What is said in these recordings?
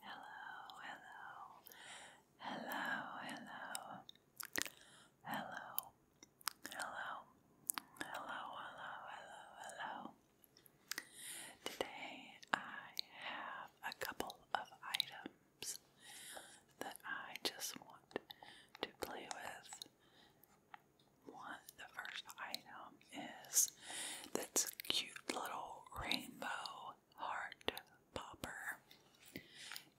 Hello, hello, hello, hello, hello, hello, hello, hello, hello, hello. Today I have a couple of items that I just want to play with. One, the first item is this cute little rainbow heart popper.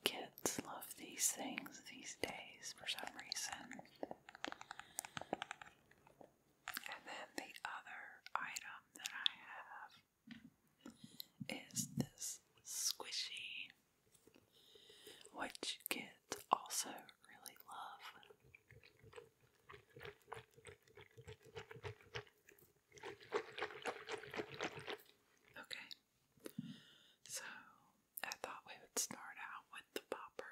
Kids love these things these days for some reason. And then the other item that I have is this squishy, which kids also really love. Okay, so I thought we would start out with the popper.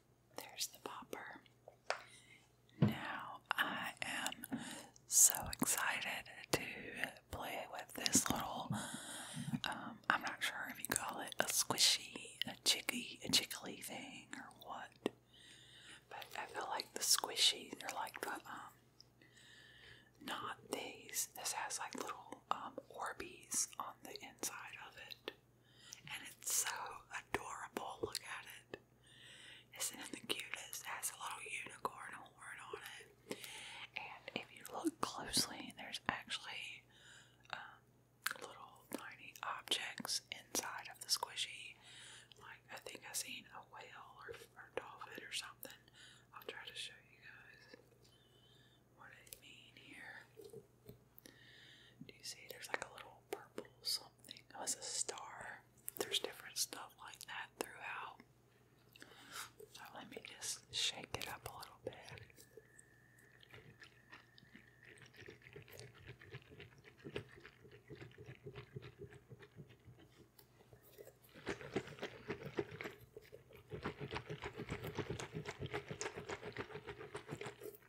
There's the popper. Now I am so excited to play with this little, um, I'm not sure if you call it a squishy, a chicky, a chickly thing or what, but I feel like the squishy, they're like the, um, not these. This has like little um, Orbeez on the inside of it. And it's so adorable. Look at it. Isn't it the cutest? has a little unicorn horn on it. And if you look closely, there's actually um, little tiny objects inside of the squishy. Like, I think I've seen a whale or, a dolphin or something. I'll try to show you guys what I mean here. Do you see there's like a little purple something? Oh, was a star. There's different stuff like that throughout. So let me just shake it up a little bit.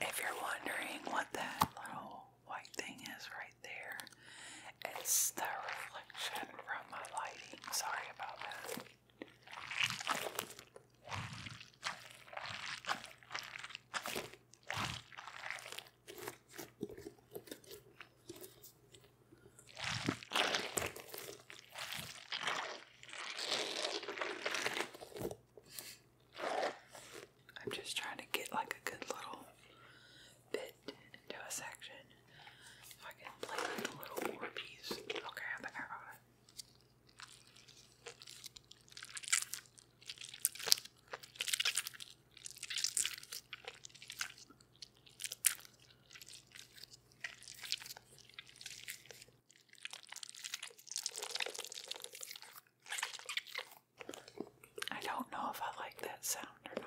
If you're wondering what that little white thing is right there, it's the reflection from my lighting. Sorry about that. I'm just trying to get like a good little bit into a section so I can play with the little war piece. Okay, I think I got I don't know if I like that sound or not.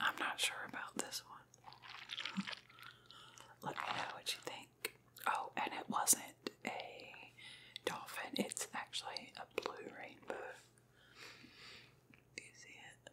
I'm not sure about this one. Let me know what you think. Oh, and it wasn't a dolphin, it's actually a blue rainbow. you see it?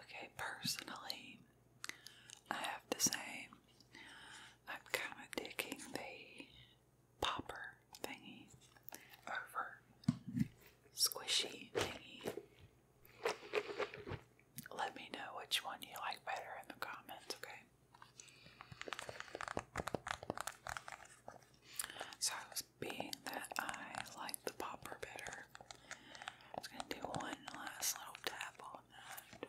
Okay, personally, I have to say, I'm kind of digging the popper thingy over squishy thingy. Let me know which one you like better in the comments, okay? So being that I like the popper better, I'm gonna do one last little tap on that.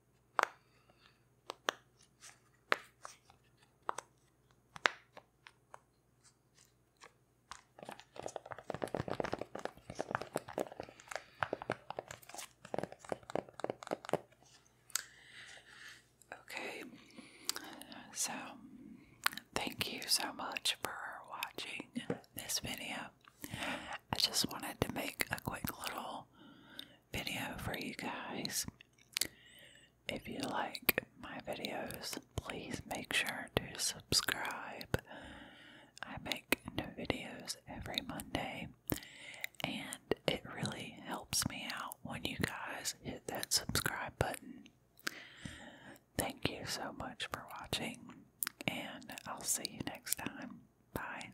Okay, so thank you so much for watching this video. I just wanted to make a quick little video for you guys. If you like my videos, please make sure to subscribe. I make new videos every Monday, and it really helps me out when you guys hit that subscribe button. Thank you so much for watching, and I'll see you next time. Bye.